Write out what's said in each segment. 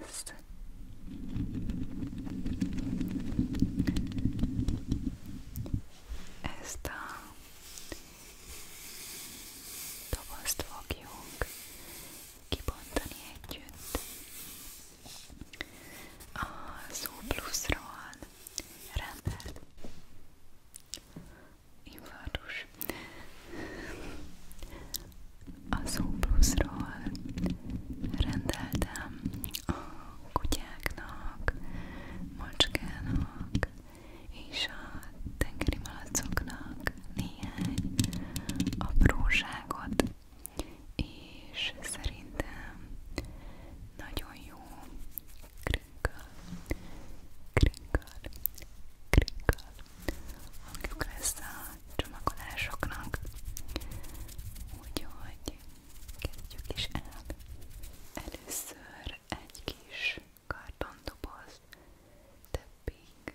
lesz. Ezt a dobozt fogjuk kibontani együtt. A szó pluszról rendelt infartus a Zoobuszról rendeltem a kutyáknak, macskának és a tengeri malacoknak néhány apróságot, és szerintem nagyon jó krinkkal, krinkkal, krinkkal hangjuk lesz a csomagolásoknak. Úgyhogy kezdjük is el. Először egy kis kartondoboz többig.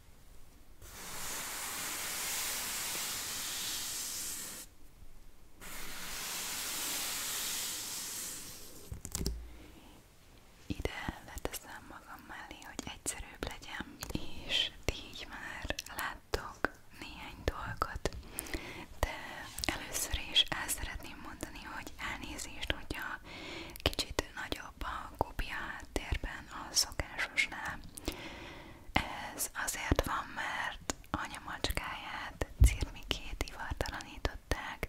Ide leteszem magam mellé, hogy egyszerűbb legyen, és így már láttok néhány dolgot, de először is el szeretném mondani, hogy elnézést, hogyha kicsit nagyobb a kopia háttérben, éppen a szokásosnál. Ez azért van, mert anya macskáját cirmikét ivartalanították,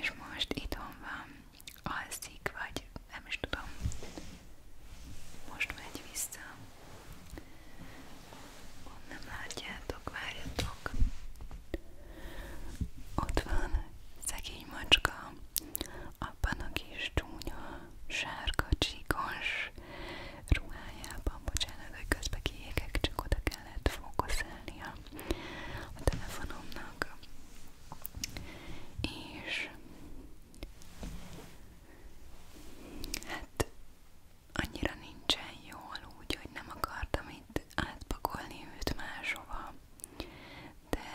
és most itthon van, alszik, vagy nem is tudom. Most megy vissza. Ott nem látjátok, várjatok. Ott van szegény macska, abban a kis csúnya, sárga, csíkos ruhájában, bocsánat, hogy közbe kiégek, csak oda kellett fókuszálnia a telefonomnak. És hát annyira nincsen jól, úgyhogy nem akartam itt átpakolni őt máshova, de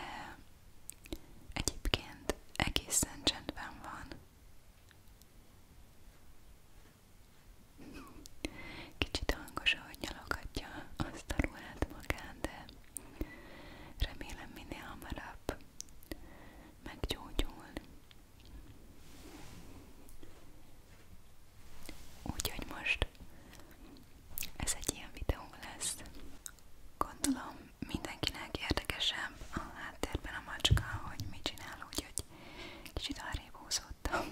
Egyébként egészen csendben van. Kicsit hangos, ahogy nyalogatja azt a ruhát magán, de remélem minél hamarabb meggyógyul. Úgyhogy most ez egy ilyen videó lesz. Gondolom mindenkinek érdekesebb a háttérben a macska, hogy mit csinál, úgyhogy kicsit arrébb húzottam.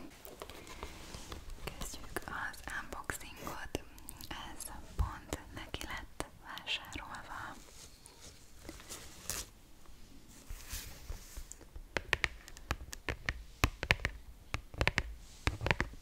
Kezdjük az unboxingot. Ez pont neki lett vásárolva.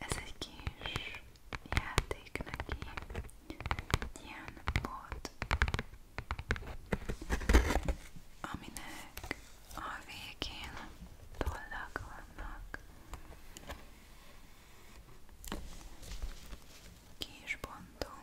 Ez egy kis játék neki, egy ilyen bot, aminek a végén tollak vannak. Ki is bontom.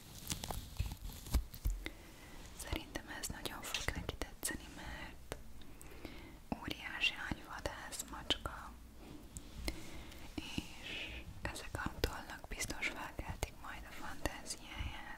Szerintem ez nagyon fog neki tetszeni, mert óriási ágyvadász macska, és ezek a tollnak biztos felkeltik majd a fantáziáját.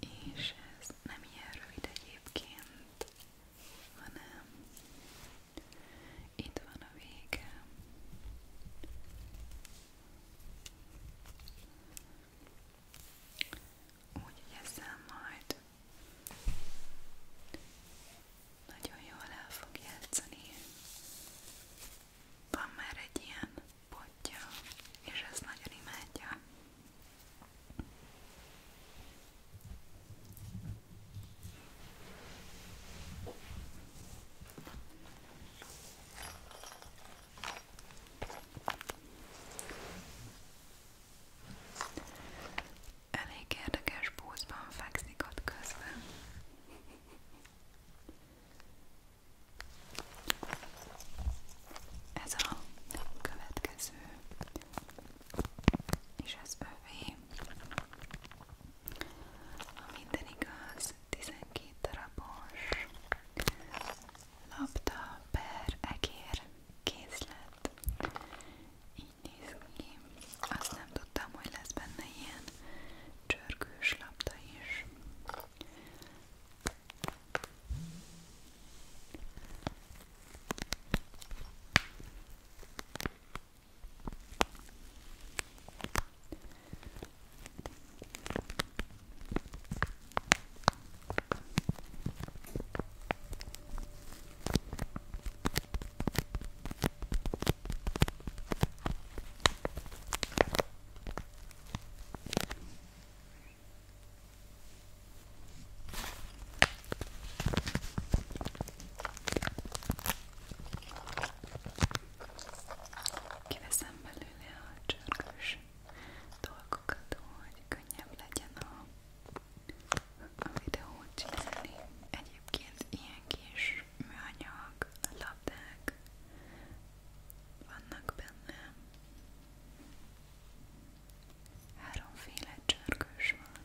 És ez nem ilyen rövid egyébként, hanem itt van a vége. Úgy ezzel majd nagyon jól el fog játszani. Van már egy ilyen potja, és ezt nagyon imádja. Elég érdekes pózban fekszik ott közben. Ez a következő, és ez övé. A minden igaz, 12 darabos labda per egér készlet így néz ki. Azt nem tudtam, hogy lesz benne ilyen csörgős labda is. Kiveszem belőle a csörgős dolgokat, hogy könnyebb legyen a, a videót csinálni. Egyébként ilyen kis műanyag labdák vannak benne. Háromféle csörgős van.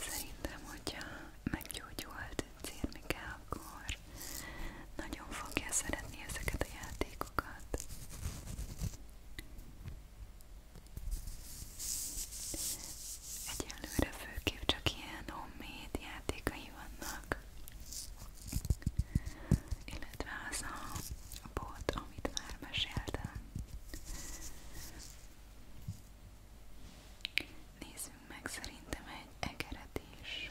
Szerintem, hogyha meggyógyult Cirmike, akkor nagyon fogja szeretni ezeket a játékokat. Egyelőre főképp csak ilyen homemade játékai vannak illetve az a bot, amit már meséltem. Nézzünk meg szerintem egy egeret is.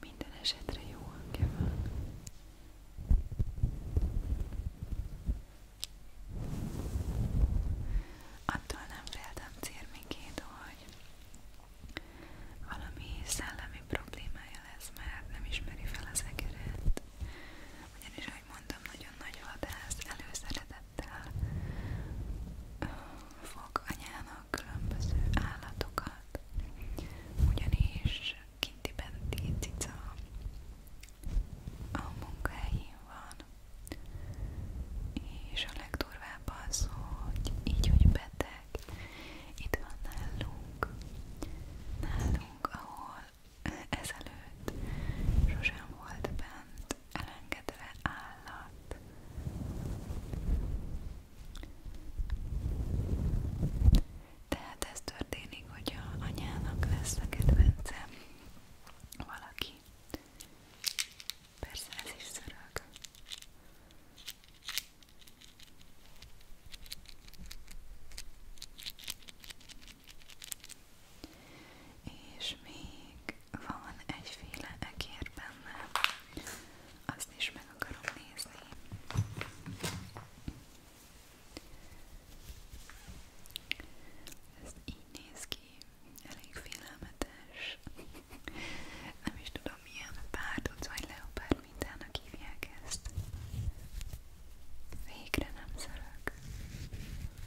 Minden esetre jó hangja van. Attól nem féltem cérmikét, hogy valami szellemi problémája lesz, mert nem ismeri fel az egeret. Ugyanis ahogy mondtam, nagyon nagy vadász előszeretettel fog anyának különböző állatokat, ugyanis kinti benti cica a munkahelyén van, és a legdurvább az, hogy így, hogy beteg, itt van nálunk, nálunk, ahol ezelőtt sosem volt bent elengedve állat. Tehát ez történik, hogyha anyának lesz a kedvence valaki. Persze ez is szörög. És még van egyféle egér benne, azt is meg akarom nézni. Ez így néz ki, elég félelmetes. Nem is tudom milyen párduc vagy leopárd mintának hívják ezt. Végre nem szörök.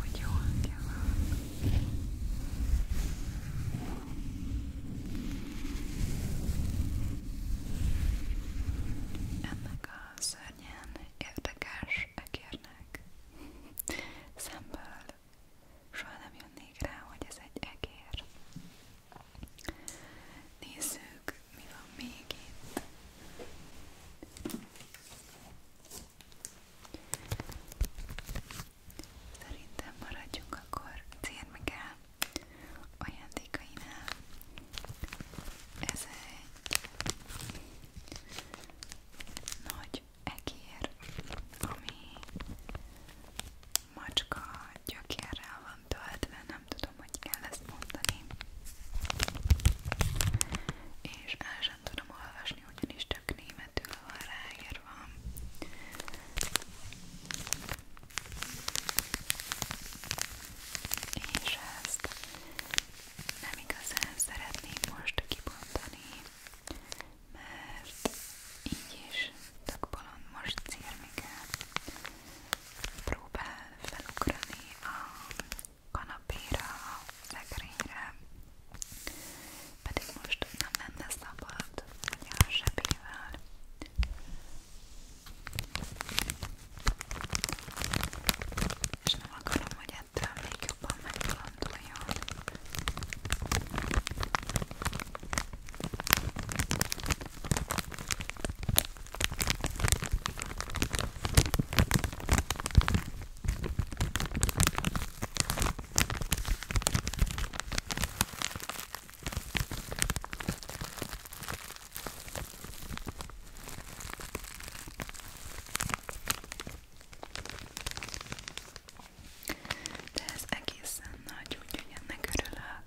hogy jó hangja van. Ennek a szörnyen érdekes egérnek szemből soha nem jönnék rá, hogy ez egy egér. Nézzük, mi van még itt. Szerintem maradjunk akkor cérmegel ajándékainál. Ez egy nagy egér, ami macska gyökérrel van töltve, nem tudom, hogy kell ezt mondani. És sem tudom olvasni, ugyanis csak németül van ráírva. És ezt nem igazán szeretném most kibontani, mert így is tök bolond most círmike próbál felugrani a kanapéra, a szekrényre, pedig most nem lenne szabad, ugye a zsebével. És nem akarom, hogy ettől még jobban megkalanduljon. De ez egészen nagy, úgyhogy ennek örülök.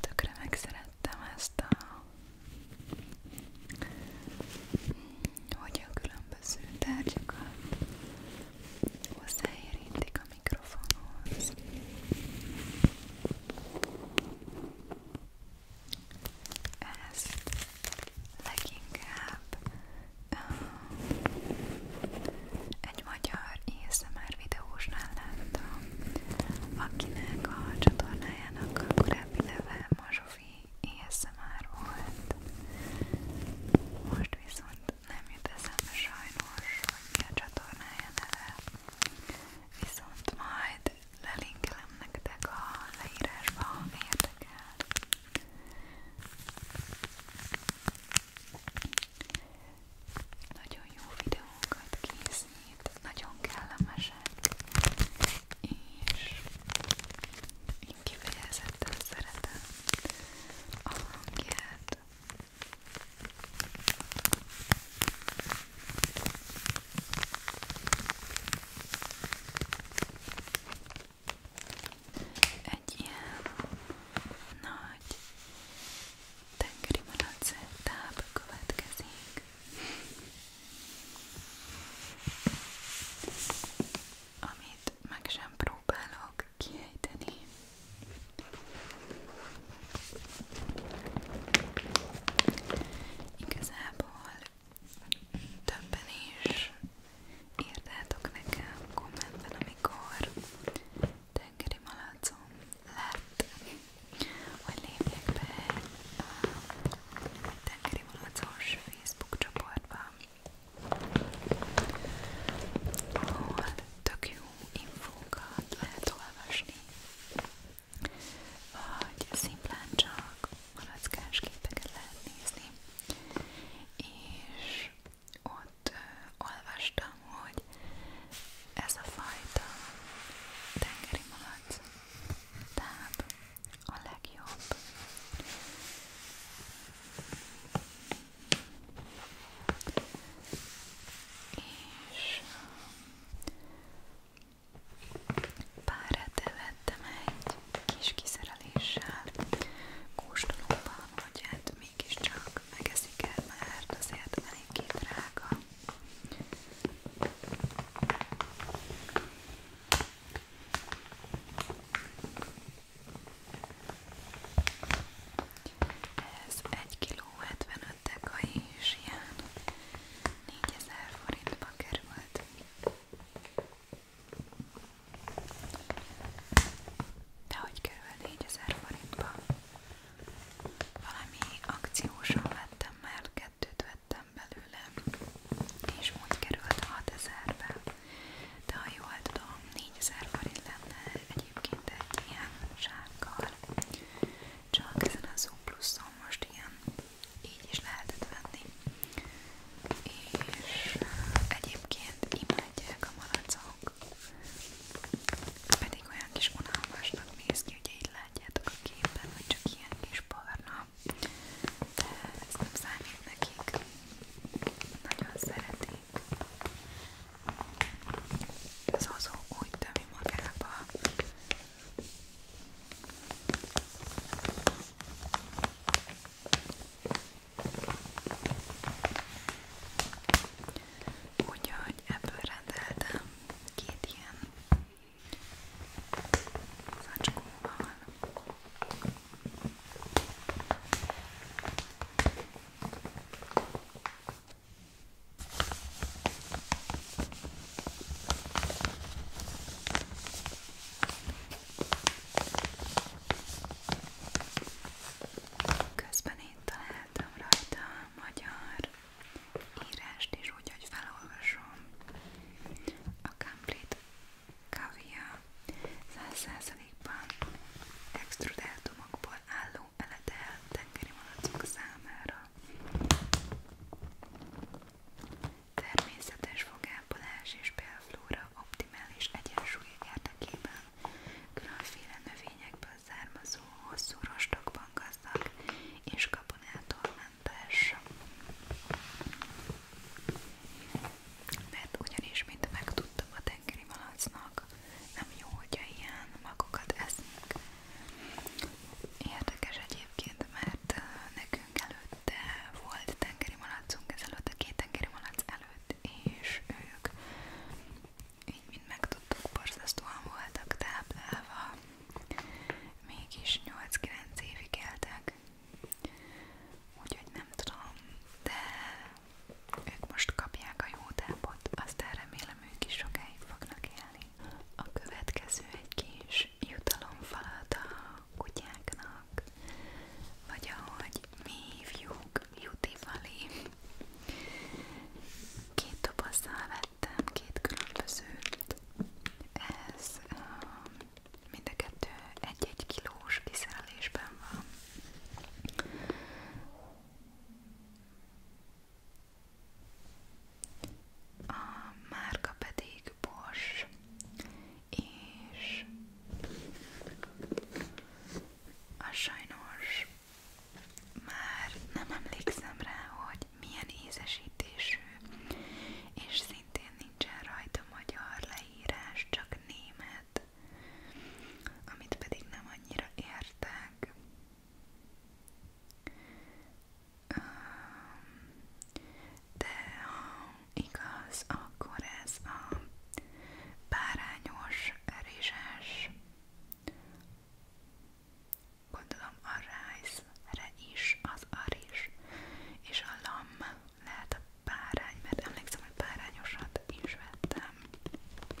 Tökre megszerettem ezt a hogy a különböző különböző tárgyakat hozzáérintik a mikrofonhoz. Ez leginkább egy magyar ASMR videósnál láttam, akinek a csatornájának a korábbi neve Mazsofi ASMR volt. Most viszont nem jut eszembe sajnos, hogy mi a csatornája neve, viszont majd lelinkelem nektek a leírásba, ha érdekel. Nagyon jó videókat készít, nagyon kellemesek, és én kifejezetten szeretem a hangját. Egy ilyen nagy tengeri malac táb következik. Amit meg sem próbálok kiejteni. Igazából többen is írtátok nekem kommentben, amikor tengeri malacom lett, hogy lépjek be a tengeri malacos Facebook csoportba, ahol tök jó infókat lehet olvasni, vagy szimplán csak malackás képeket lehet nézni, és ott olvastam, hogy ez a fajta tengeri malac táb a legjobb és párat vettem egy kis kiszereléssel kóstolóban, hogy hát mégiscsak megeszik el, mert azért eléggé drága. Ez 1 kg 75 dekai és ilyen 4000 forintba került. De hogy kerül 4000 forintba? Valami akciósan vettem, mert kettőt vettem belőle, és most került 6000-be. De ha jól tudom, 4000 forint lenne egyébként egy ilyen zsákkal. Csak ezen a Zoom pluszon most ilyen így is lehetett venni. És eh, egyébként imádják a malacok. Pedig olyan kis unalmasnak néz ki, ugye így látjátok a képen, hogy csak ilyen kis barna. De ez nem számít nekik. Nagyon szeretik. Ez azó úgy tömi magába. Úgyhogy ebből rendeltem két ilyen zacskóval. Közben én találtam rajta a magyar írást is, úgyhogy felolvasom a Complete Kavia 100%-ban extrudátumokból álló eletel tengeri malacok számára. Természetes fogápolás és belflóra optimális egyensúly érdekében különféle növényekből származó hosszú rostokban gazdag és kabonától mentes mert ugyanis, mint megtudtam a tengeri malacnak, nem jó, hogyha ilyen magokat eszünk. Érdekes egyébként, mert nekünk előtte volt tengeri malacunk, ezelőtt a két tengeri malac előtt, és ők így, mint megtudtuk, borzasztóan voltak táplálva, mégis 8-9 évig éltek. Úgyhogy nem tudom, de ők most kapják a jó tápot, aztán remélem ők is sokáig fognak élni. A következő egy kis jutalomfalat a kutyáknak, vagy ahogy mi hívjuk, jutifali. Két dobozzal vettem, két különbözőt. Ez um, mind a kettő egy-egy kilós kiszerelésben van. A márka pedig Bosch, és a sajnos már nem emlékszem rá, hogy milyen ízesítésű, és szintén nincsen rajta magyar leírás, csak német lett, amit pedig nem annyira értek. De ha igaz, akkor ez a bárányos, rizses, gondolom a rájszre is az a rizs, és a lam lehet a bárány, mert emlékszem, hogy bárányosat is vettem.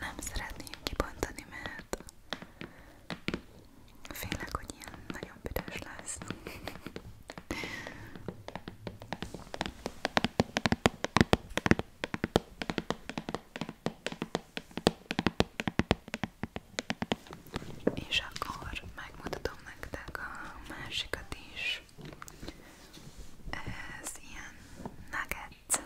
Nem szeretném kibontani, mert félek, hogy ilyen nagyon büdös lesz. És akkor megmutatom nektek a másikat is. Ez ilyen nugget,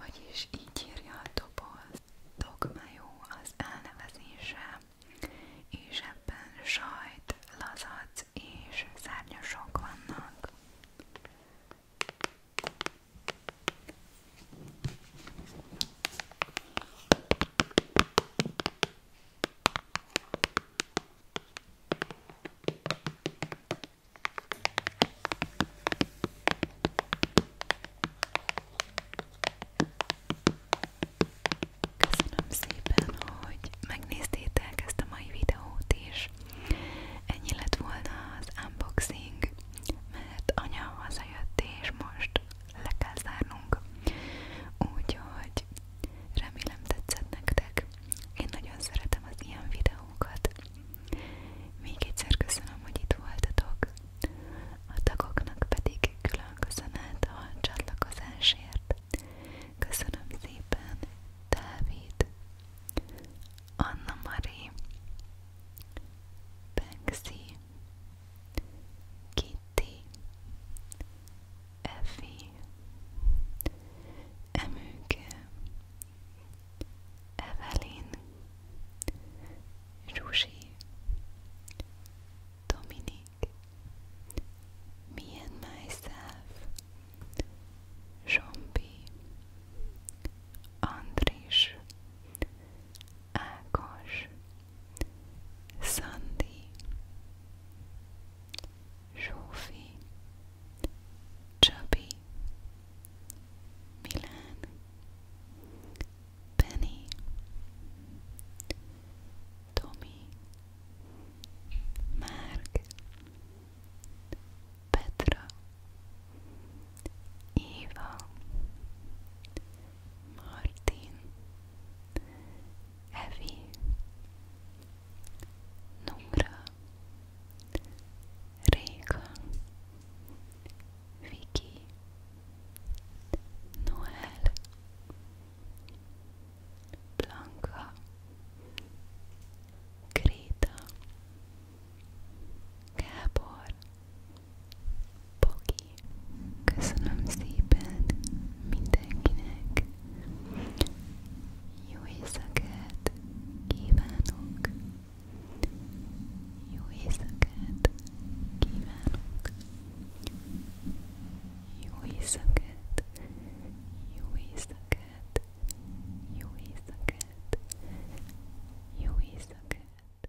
vagyis így írja a doboz. Dogmajó az elnevezése, és ebben sajt, lazac és szárnyasok vannak. Köszönöm szépen, hogy megnéztétek ezt a mai videót is. Ennyi lett volna az unboxing, mert anya hazajött és most le kell zárnunk. Úgyhogy remélem tetszett nektek. Én nagyon szeretem az ilyen videókat. Még egyszer köszönöm, hogy itt voltatok. A tagoknak pedig külön köszönet a csatlakozásért. Köszönöm szépen, Dávid, Anna Mari, Banksy, Kitty, Effie, Emőke, Evelyn, Zsuzsi, Dominik, Me and Myself, Zsombi, Andris, Ákos, Szandi, Zsófi, Csabi, Milán, Penny, Tomi, Márk, Petra, Éva, Martin, Evie, Numra, Reika, Vicky, Noel, Blanca, Greta, Gabor, Poki, köszönöm szépen mindenkinek. Jó éjszakát kívánok. Jó éjszakát kívánok. Jó éjszakát. Jó éjszakát. Jó éjszakát. Jó éjszakát.